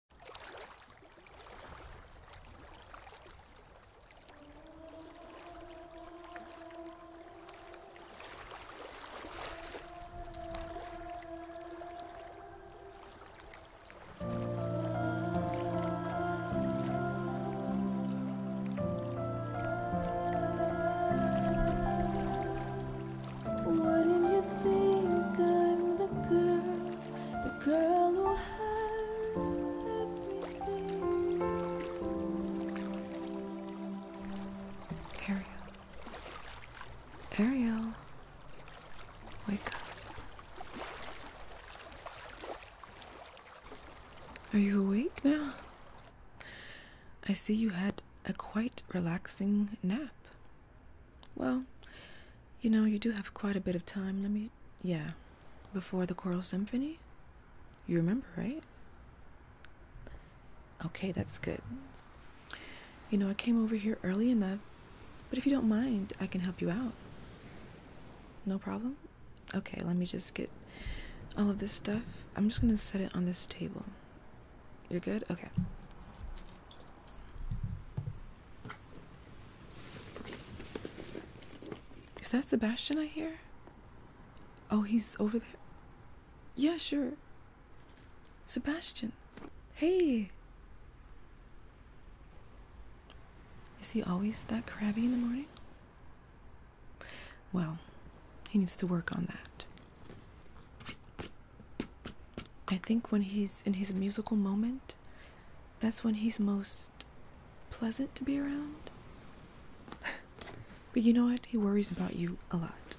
What not you think I'm the girl? the girl who has Ariel, Ariel, wake up. Are you awake now? I see you had a quite relaxing nap. Well, you know, you do have quite a bit of time. Let me. Yeah. Before the choral symphony? You remember, right? Okay, that's good. You know, I came over here early enough, but if you don't mind, I can help you out. No problem? Okay, let me just get all of this stuff. I'm just gonna set it on this table. You're good? Okay. Is that Sebastian I hear? Oh, he's over there. Yeah, sure. Sebastian. Hey. Is he always that crabby in the morning? Well, he needs to work on that. I think when he's in his musical moment, that's when he's most pleasant to be around. but you know what? He worries about you a lot.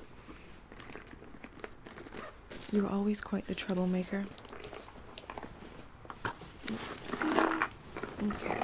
You're always quite the troublemaker. Let's see. Okay.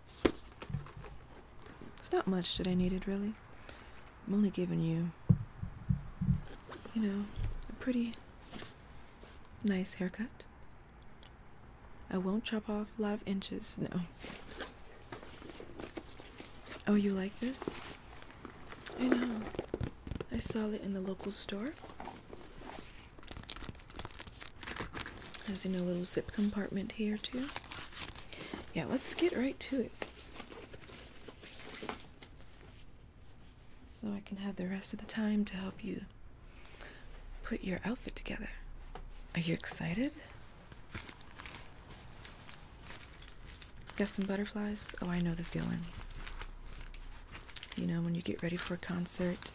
It's not much that I needed, really. I'm only giving you, you know, a pretty nice haircut. I won't chop off a lot of inches, no. Oh, you like this? I know. I saw it in the local store. There's in a little zip compartment here, too. Yeah, let's get right to it. So I can have the rest of the time to help you put your outfit together. Are you excited? Got some butterflies? Oh, I know the feeling. You know, when you get ready for a concert,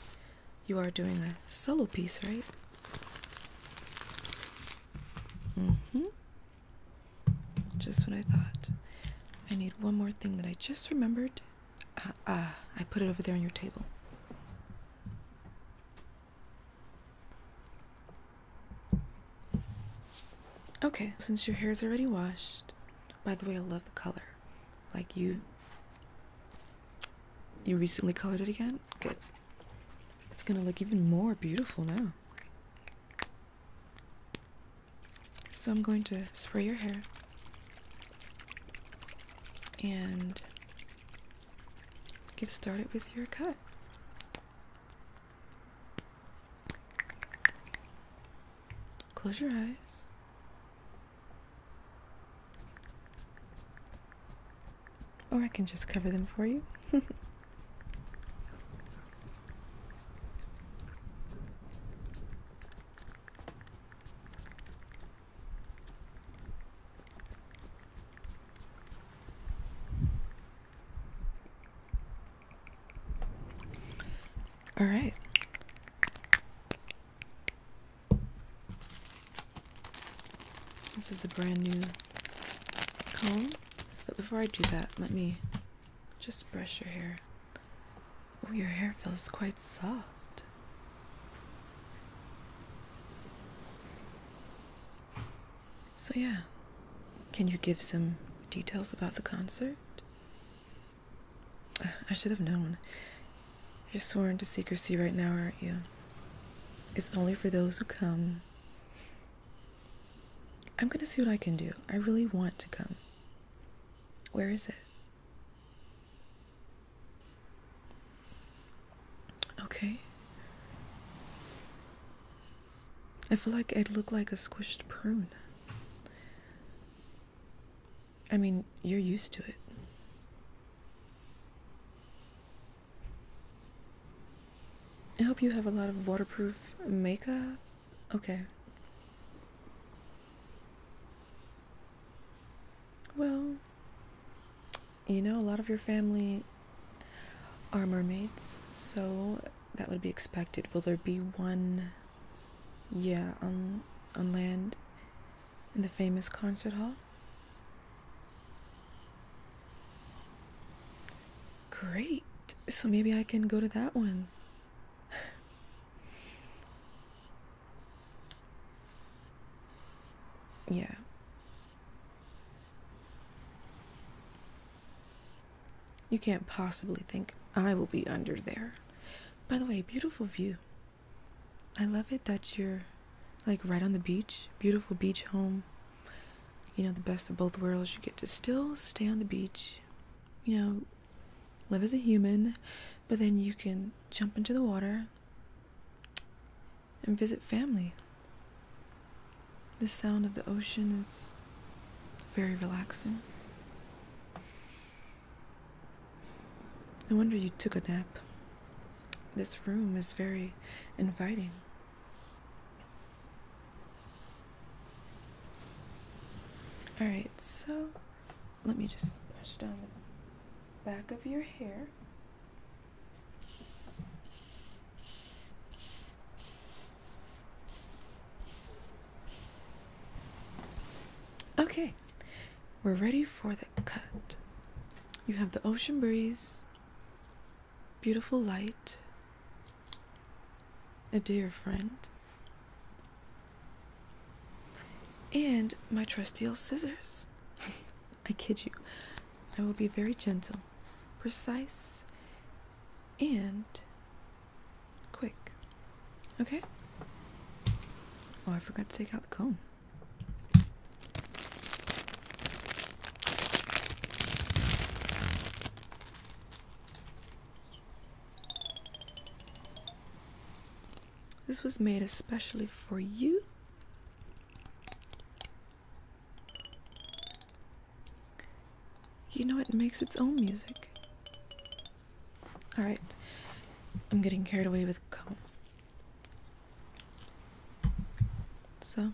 you are doing a solo piece, right? hmm Just what I thought. I need one more thing that I just remembered. Ah, ah, I put it over there on your table. Okay, since your hair is already washed, by the way, I love the color. Like you, you recently colored it again? Good. It's gonna look even more beautiful now. So I'm going to spray your hair and get started with your cut. Close your eyes. Or I can just cover them for you. All right. This is a brand new comb. But before I do that, let me just brush your hair. Oh, your hair feels quite soft. So, yeah. Can you give some details about the concert? I should have known. You're sworn to secrecy right now, aren't you? It's only for those who come. I'm going to see what I can do. I really want to come. Where is it? Okay. I feel like I'd look like a squished prune. I mean, you're used to it. I hope you have a lot of waterproof makeup. Okay. Well, you know, a lot of your family are mermaids, so that would be expected. Will there be one, yeah, on, on land in the famous concert hall? Great. So maybe I can go to that one. yeah. You can't possibly think I will be under there. By the way, beautiful view. I love it that you're like right on the beach, beautiful beach home. You know, the best of both worlds. You get to still stay on the beach, you know, live as a human, but then you can jump into the water and visit family. The sound of the ocean is very relaxing. No wonder you took a nap. This room is very inviting. Alright, so let me just brush down the back of your hair. Okay, we're ready for the cut. You have the ocean breeze beautiful light, a dear friend, and my trusty old scissors. I kid you, I will be very gentle, precise, and quick. Okay? Oh, I forgot to take out the comb. This was made especially for you. You know, it makes its own music. Alright, I'm getting carried away with comb. So,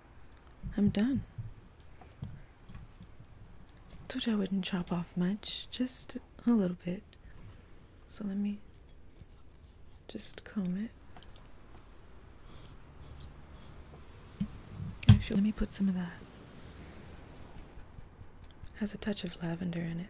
I'm done. Told you I wouldn't chop off much, just a little bit. So let me just comb it. Actually, let me put some of that. Has a touch of lavender in it.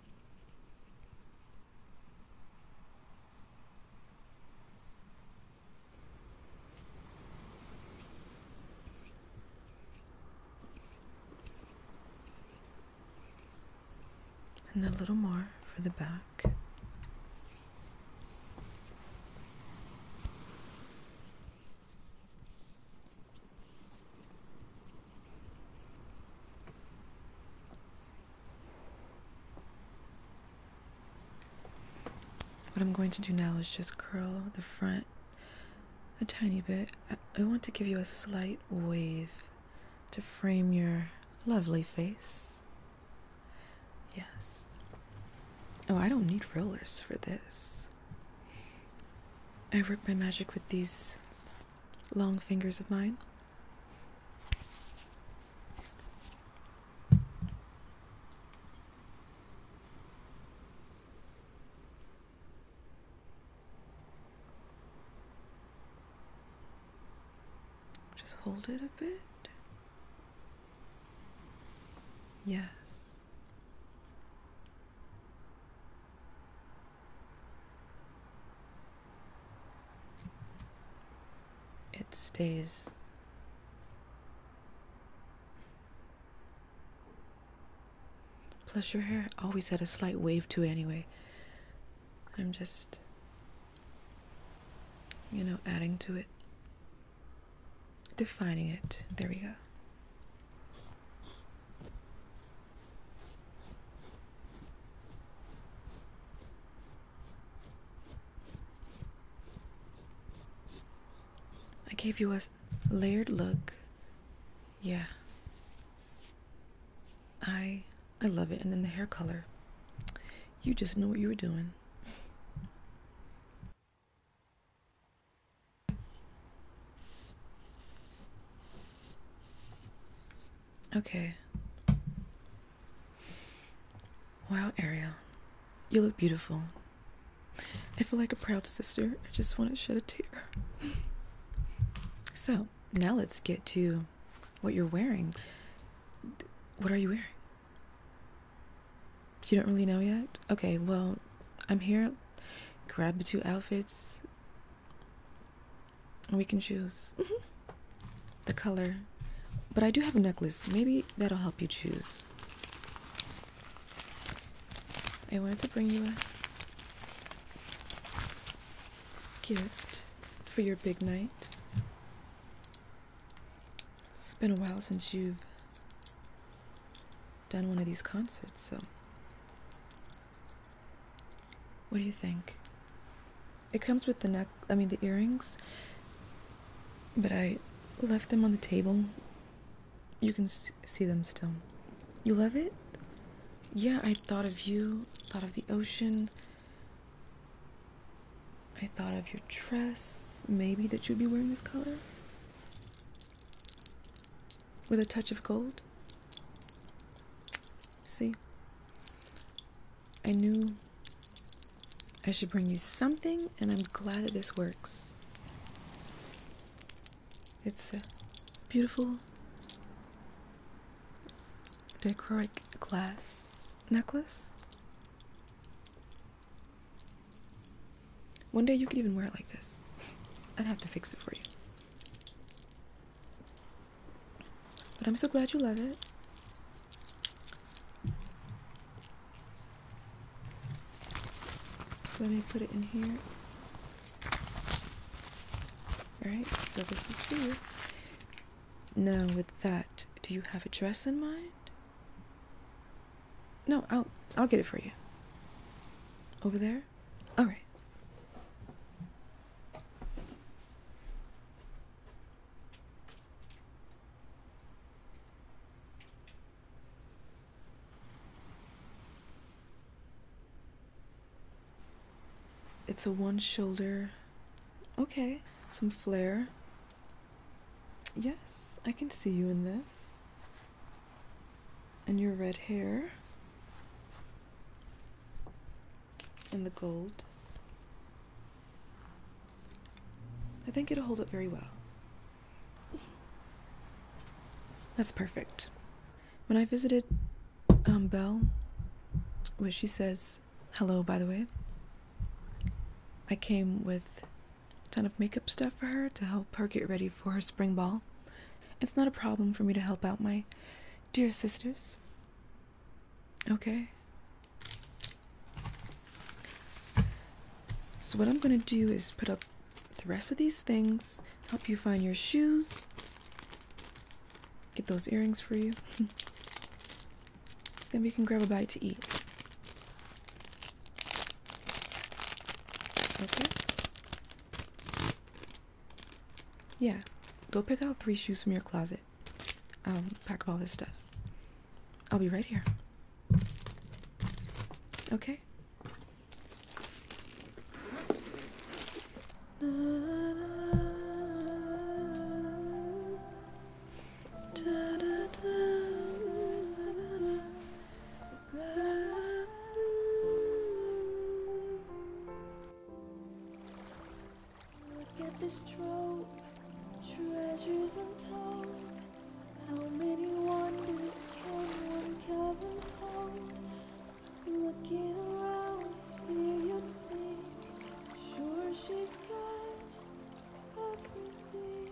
And a little more for the back. What I'm going to do now is just curl the front a tiny bit. I want to give you a slight wave to frame your lovely face. Yes. Oh, I don't need rollers for this. I work my magic with these long fingers of mine. Just hold it a bit. Yes it stays plus your hair always had a slight wave to it anyway i'm just you know adding to it defining it there we go I gave you a layered look. Yeah. I I love it. And then the hair color. You just know what you were doing. Okay. Wow, Ariel, you look beautiful. I feel like a proud sister. I just want to shed a tear. So, now let's get to what you're wearing. What are you wearing? You don't really know yet? Okay, well, I'm here. Grab the two outfits we can choose mm-hmm. the color. But I do have a necklace. Maybe that'll help you choose. I wanted to bring you a gift for your big night. It's been a while since you've done one of these concerts, so. What do you think? It comes with the neck, I mean, the earrings, but I left them on the table. You can see them still. You love it? Yeah, I thought of you, thought of the ocean. I thought of your dress, maybe that you'd be wearing this color. With a touch of gold. See? I knew I should bring you something, and I'm glad that this works. It's a beautiful dichroic glass necklace. One day you could even wear it like this. I'd have to fix it for you. But I'm so glad you love it. So let me put it in here. Alright, so this is for you. Now, with that, do you have a dress in mind? No, I'll I'll get it for you. Over there? Alright. It's a one shoulder. Okay, some flare. Yes, I can see you in this. And your red hair. And the gold. I think it'll hold up very well. That's perfect. When I visited um, Belle, which she says, hello, by the way, I came with a ton of makeup stuff for her to help her get ready for her spring ball. It's not a problem for me to help out my dear sisters. Okay. So what I'm going to do is put up the rest of these things, help you find your shoes, get those earrings for you. then we can grab a bite to eat. Okay? Yeah, go pick out three shoes from your closet. I'll pack up all this stuff. I'll be right here. Okay. Look at this trove, treasures untold. How many wonders can one cavern hold? Looking around, here you'd think, sure she's got everything.